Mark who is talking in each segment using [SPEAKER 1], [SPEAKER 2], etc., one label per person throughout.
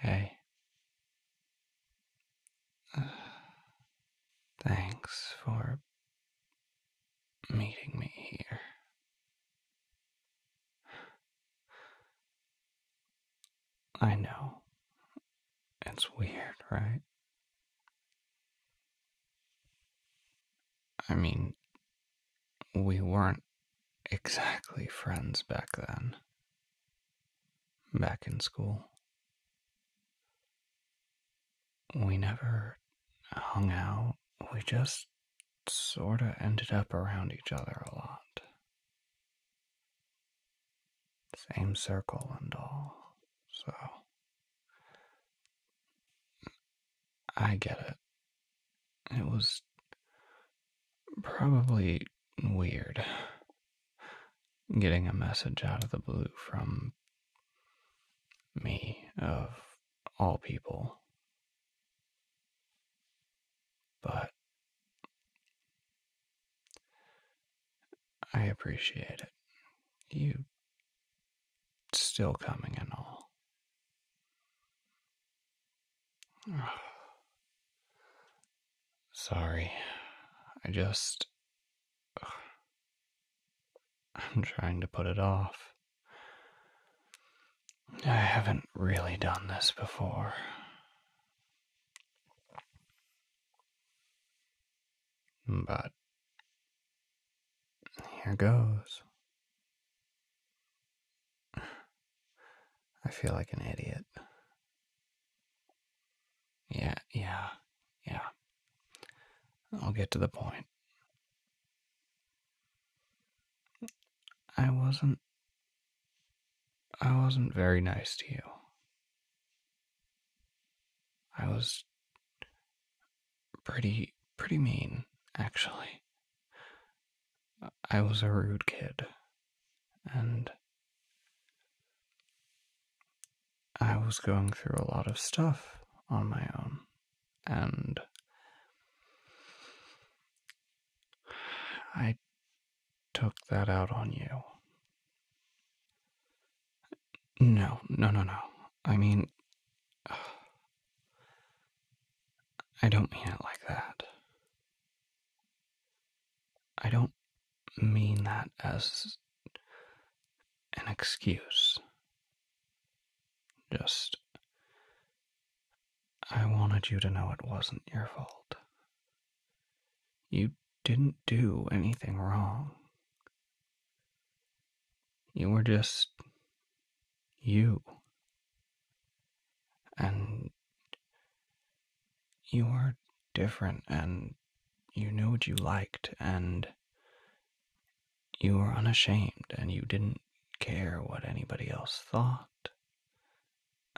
[SPEAKER 1] Hey. thanks for meeting me here. I know. It's weird, right? I mean, we weren't exactly friends back then, back in school. We never hung out, we just sorta ended up around each other a lot same circle and all. So I get it. It was probably weird getting a message out of the blue from me, of all people. But I appreciate it. You still coming and all. Sorry. I just. I'm trying to put it off. I haven't really done this before. But here goes. I feel like an idiot. Yeah, yeah, yeah. I'll get to the point. I wasn't. I wasn't very nice to you. I was pretty, pretty mean, actually. I was a rude kid, and I was going through a lot of stuff on my own, and I took that out on you. No, no, no, no. I mean, I don't mean it like that. I don't mean that as an excuse. Just, I wanted you to know it wasn't your fault. You didn't do anything wrong. You were just you. And you were different, and you knew what you liked, and you were unashamed, and you didn't care what anybody else thought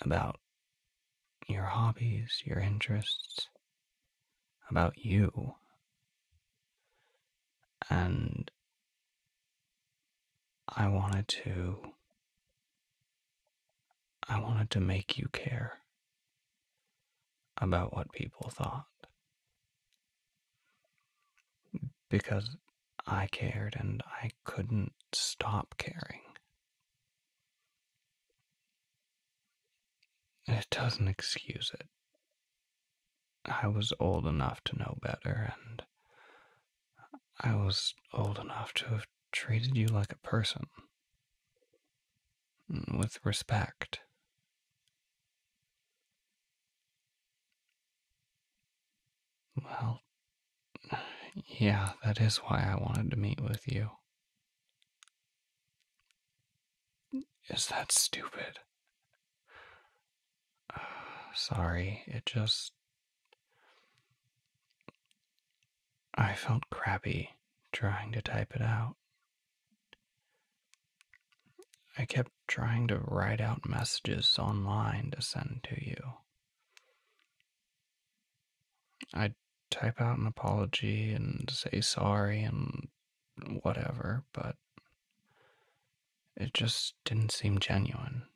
[SPEAKER 1] about your hobbies, your interests, about you. And I wanted to. I wanted to make you care about what people thought. Because I cared and I couldn't stop caring. It doesn't excuse it. I was old enough to know better, and I was old enough to have treated you like a person. With respect. Well, yeah, that is why I wanted to meet with you. Is that stupid? sorry, it just. I felt crappy trying to type it out. I kept trying to write out messages online to send to you. I'd type out an apology and say sorry and whatever, but it just didn't seem genuine.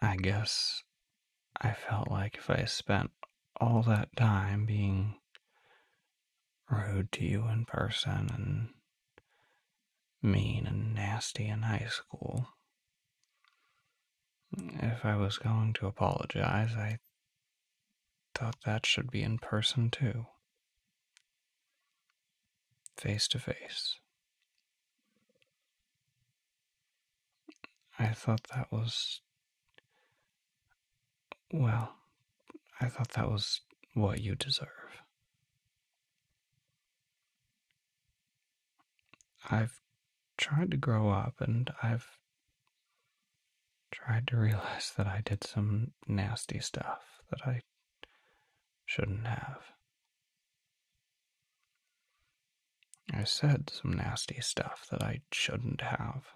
[SPEAKER 1] I guess I felt like if I spent all that time being rude to you in person and mean and nasty in high school, if I was going to apologize, I thought that should be in person too. Face to face. I thought that was. Well, I thought that was what you deserve. I've tried to grow up and I've tried to realize that I did some nasty stuff that I shouldn't have. I said some nasty stuff that I shouldn't have.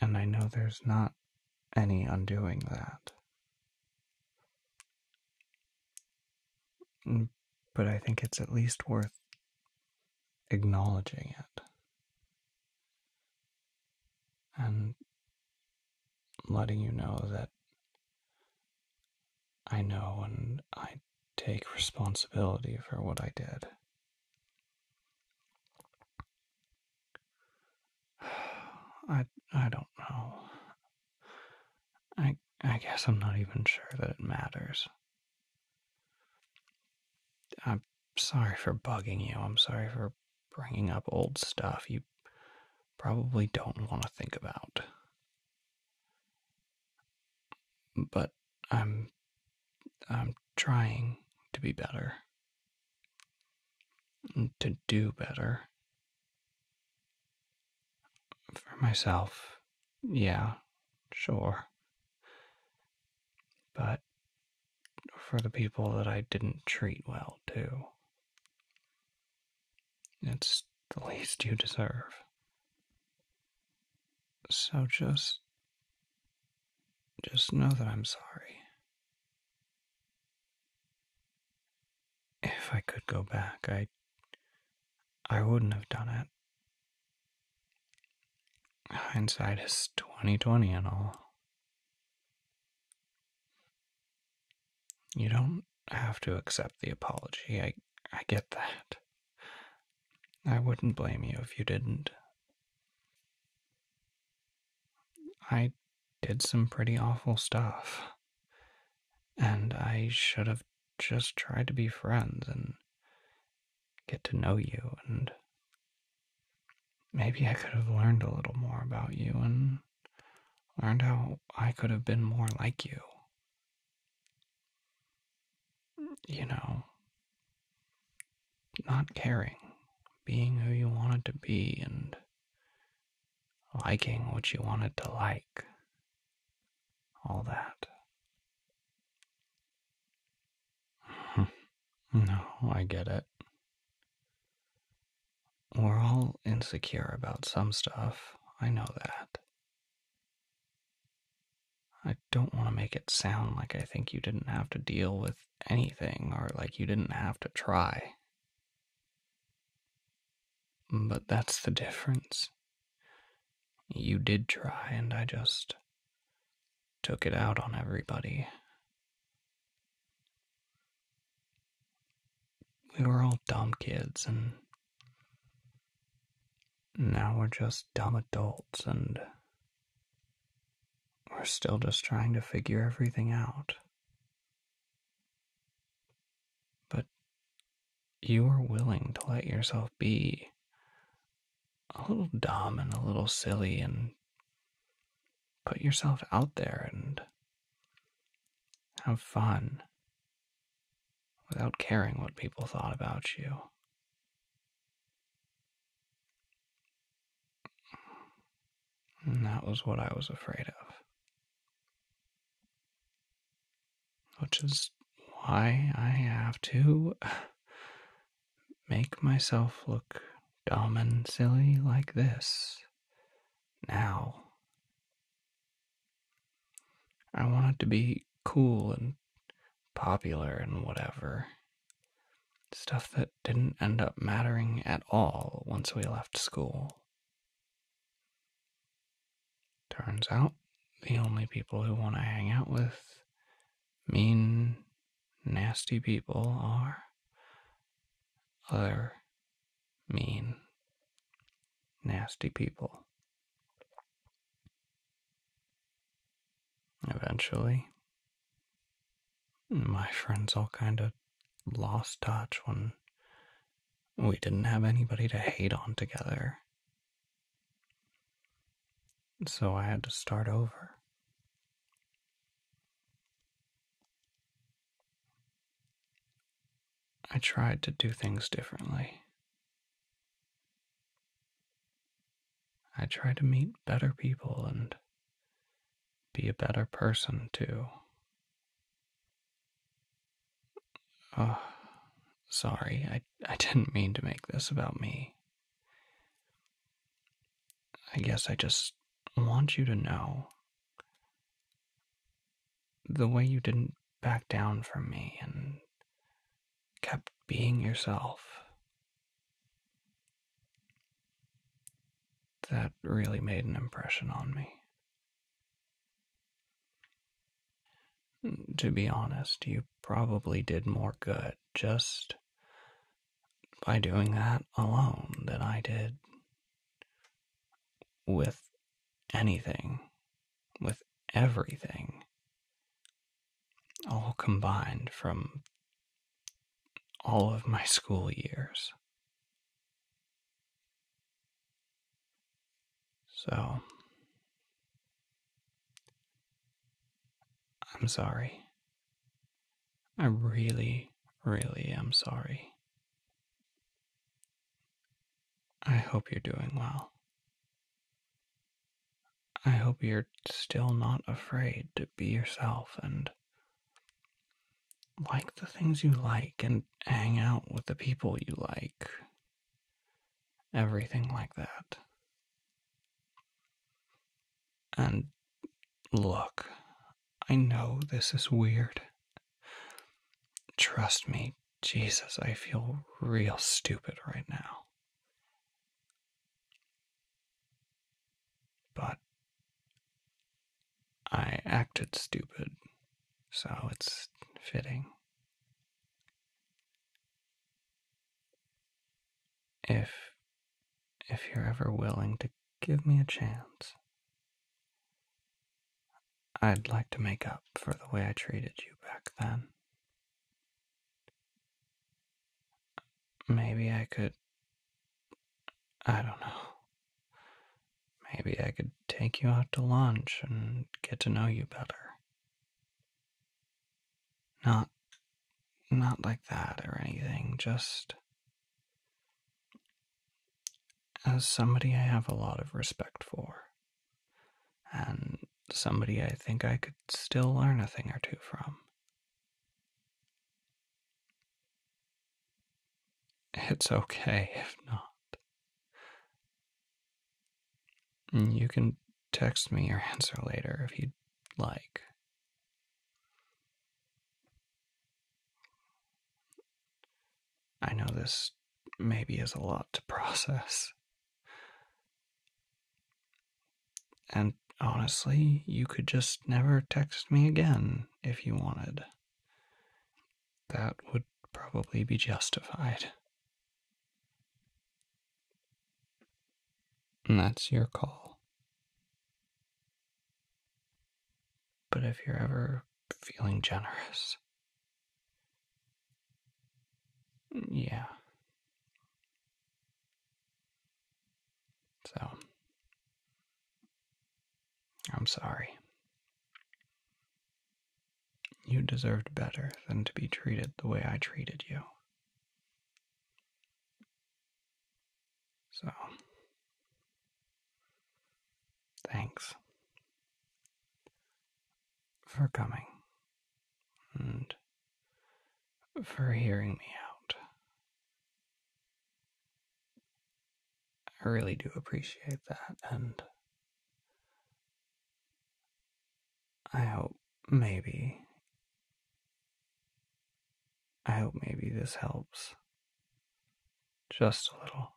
[SPEAKER 1] And I know there's not any undoing that. Mm, but I think it's at least worth acknowledging it and letting you know that I know and I take responsibility for what I did. I I don't know. I I guess I'm not even sure that it matters. I'm sorry for bugging you. I'm sorry for bringing up old stuff you probably don't want to think about. But I'm I'm trying to be better to do better. For myself, yeah, sure. But for the people that I didn't treat well, too. It's the least you deserve. So just. just know that I'm sorry. If I could go back, I I wouldn't have done it. Hindsight is twenty twenty and all. You don't have to accept the apology. I I get that. I wouldn't blame you if you didn't. I did some pretty awful stuff. And I should have just tried to be friends and get to know you, and maybe I could have learned a little more about you and learned how I could have been more like you. You know, not caring, being who you wanted to be, and liking what you wanted to like, all that. Hmm. no, I get it. We're all insecure about some stuff, I know that. I don't want to make it sound like I think you didn't have to deal with anything or like you didn't have to try. But that's the difference. You did try, and I just took it out on everybody. We were all dumb kids, and now we're just dumb adults, and we're still just trying to figure everything out. But you are willing to let yourself be a little dumb and a little silly and put yourself out there and have fun without caring what people thought about you. And that was what I was afraid of. Which is why I have to make myself look dumb and silly like this now. I wanted to be cool and popular and whatever. Stuff that didn't end up mattering at all once we left school. Turns out the only people who want to hang out with mean, nasty people are other mean, nasty people eventually. My friends all kind of lost touch when we didn't have anybody to hate on together. So I had to start over. I tried to do things differently. I try to meet better people and be a better person too. Oh, sorry, I, I didn't mean to make this about me. I guess I just want you to know the way you didn't back down from me and kept being yourself. That really made an impression on me. To be honest, you probably did more good just by doing that alone than I did with anything, with everything all combined from all of my school years. So, I'm sorry. I really, really am sorry. I hope you're doing well. I hope you're still not afraid to be yourself and like the things you like and hang out with the people you like. Everything like that. And look, I know this is weird. Trust me, Jesus, I feel real stupid right now. But I acted stupid, so it's fitting. If if you're ever willing to give me a chance, I'd like to make up for the way I treated you back then. Maybe I could. I don't know. Maybe I could take you out to lunch and get to know you better. Not. not like that or anything, just. As somebody I have a lot of respect for, and somebody I think I could still learn a thing or two from. It's okay if not. You can text me your answer later if you'd like. I know this maybe is a lot to process. And honestly, you could just never text me again if you wanted. That would probably be justified. And that's your call. But if you're ever feeling generous, yeah, so, I'm sorry. You deserved better than to be treated the way I treated you. So, thanks for coming for hearing me out. I really do appreciate that, and I hope maybe. I hope maybe this helps just a little.